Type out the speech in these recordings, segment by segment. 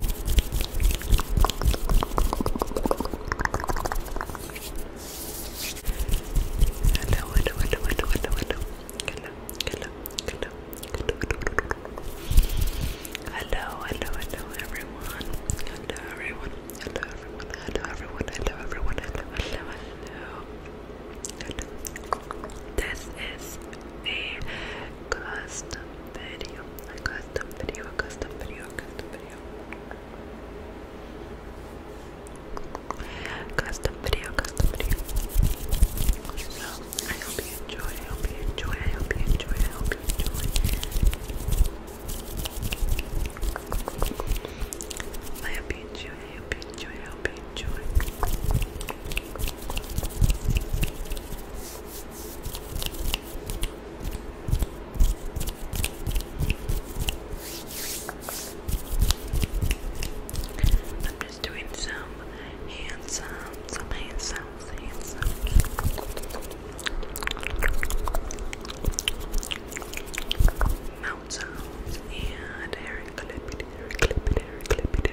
Hello, hello, hello, everyone. Hello, everyone. Hello, everyone. Hello, everyone. Hello, everyone. hello. Hello. This is a custom video, a custom video, a custom video, a custom video. Custom video, custom video. So I hope you enjoy, I hope you enjoy, I hope you enjoy, I hope you enjoy. I hope you enjoy, I hope you enjoy, I hope you enjoy. I'm just doing some handsome, some handsome, handsome. Mouth sounds and hair clip it, hair clip it,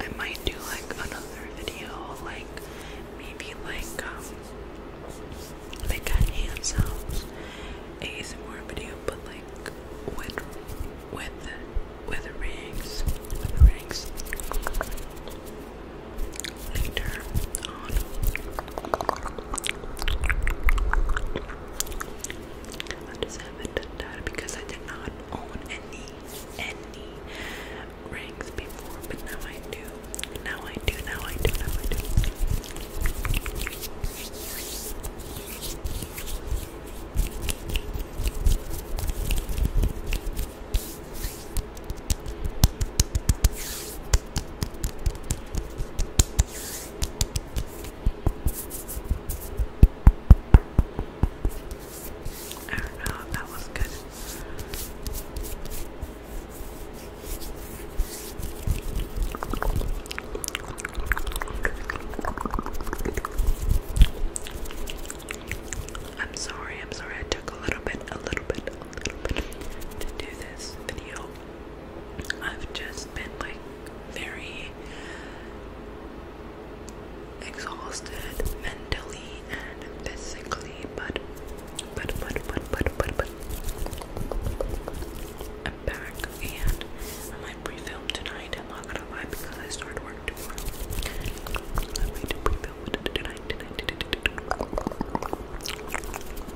I might do like another video, like maybe like um like a hand video, but like with with with rings, rings later on haven't because I did not own any any rings before, but now I do. Now I do. Now I do. Now I do. I don't know if that was good. I'm sorry, I'm sorry I took a little bit, a little bit, a little bit to do this video. I've just been like very exhausted mentally and physically, but but but but but but but I'm back and I might pre-film tonight. I'm not gonna lie because I start work tomorrow. I might pre-film tonight, tonight, tonight,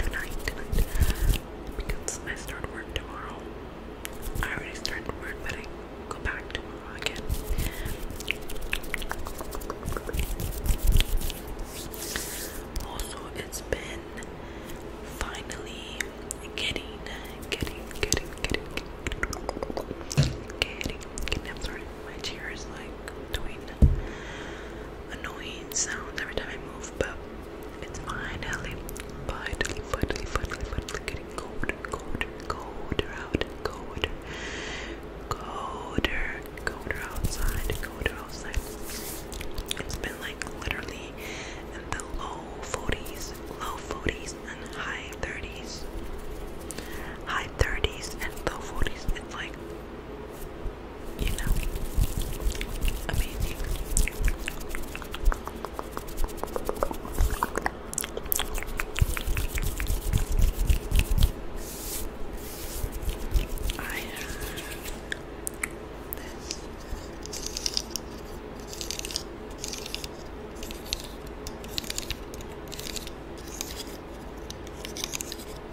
tonight, tonight because I start work tomorrow. I already started work, but I go back tomorrow again. Also, it's been finally getting, getting, getting, getting, getting, getting, am sorry, my chair is like doing annoying sounds every time I move, but it's finally, finally, finally, finally, getting colder, colder, colder out, colder, colder, colder outside, colder outside. It's been like literally in the low 40s, low 40s, and high 30s. High 30s and low 40s. It's like you know, amazing. I have this.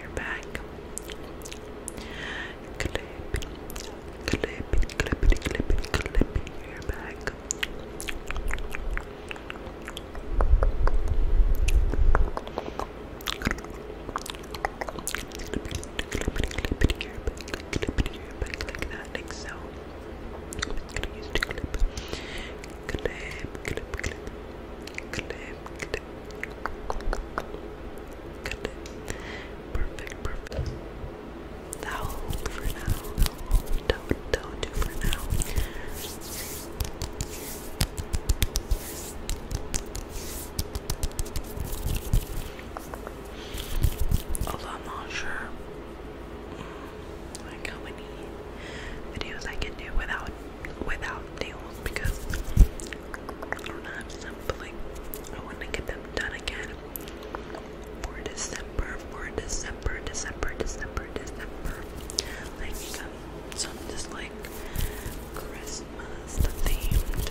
your back. Clip, clip, clip, clip, clip, clip your back. Clip clip your back like that, like so clip, clip, clip, clip, clip. Good. Perfect, perfect. That'll hold for now. That'll hold. That'll, that'll do for now. Although I'm not sure mm, like how many videos I can do without without nails because I am not have I want to get them done again for December, for December, December, December, December. Like um, some just like Christmas themed,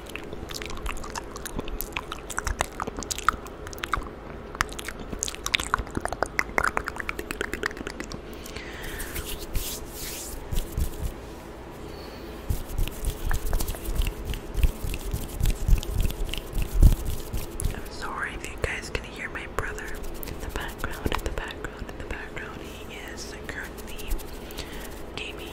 I'm sorry you guys can hear my brother in the background, in the background, in the background. He is currently gaming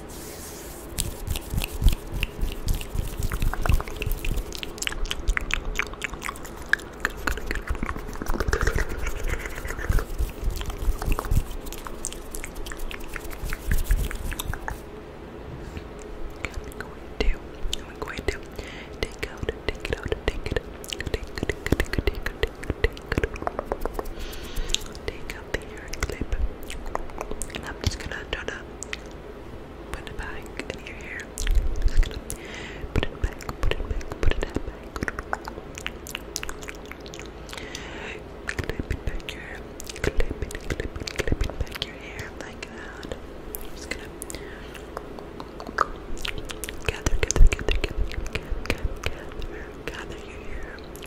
I'm going to take out, take it out, take it out, take it, take it, take it, take it, take it, take I'm just gonna turn to put it back in your hair. Just gonna put it back, put it back, put it back. Clip it back your hair. Clip it, clip it, clip it back your hair like that. just gonna gather, gather, gather, gather, gather, gather, gather, gather your hair.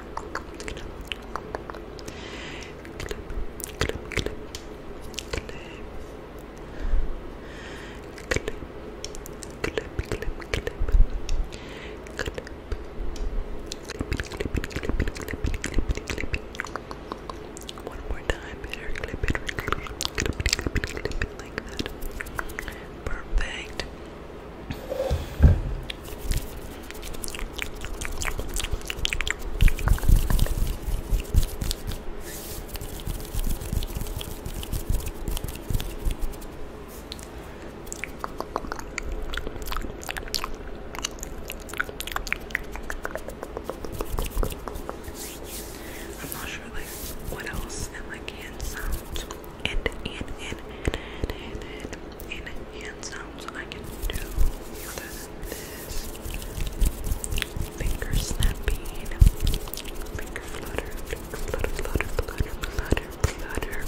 One more time, better clip it, clip it, clip it, clip it, clip it like that. Perfect. I'm not sure like what else in like hand sounds and and and and and and sounds I can do this finger snapping, finger flutter, finger flutter, flutter, flutter, flutter, flutter, and that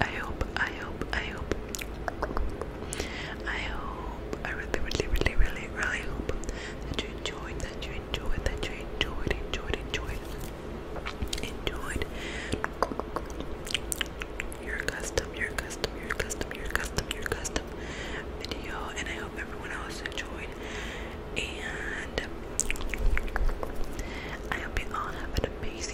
I hope, I hope, I hope, I hope, I really, really, really, really, really hope that you enjoyed, that you enjoyed, that you enjoyed, enjoyed, enjoyed, enjoyed your custom, your custom, your custom, your custom, your custom video, and I hope everyone else enjoyed. And I hope you all have an amazing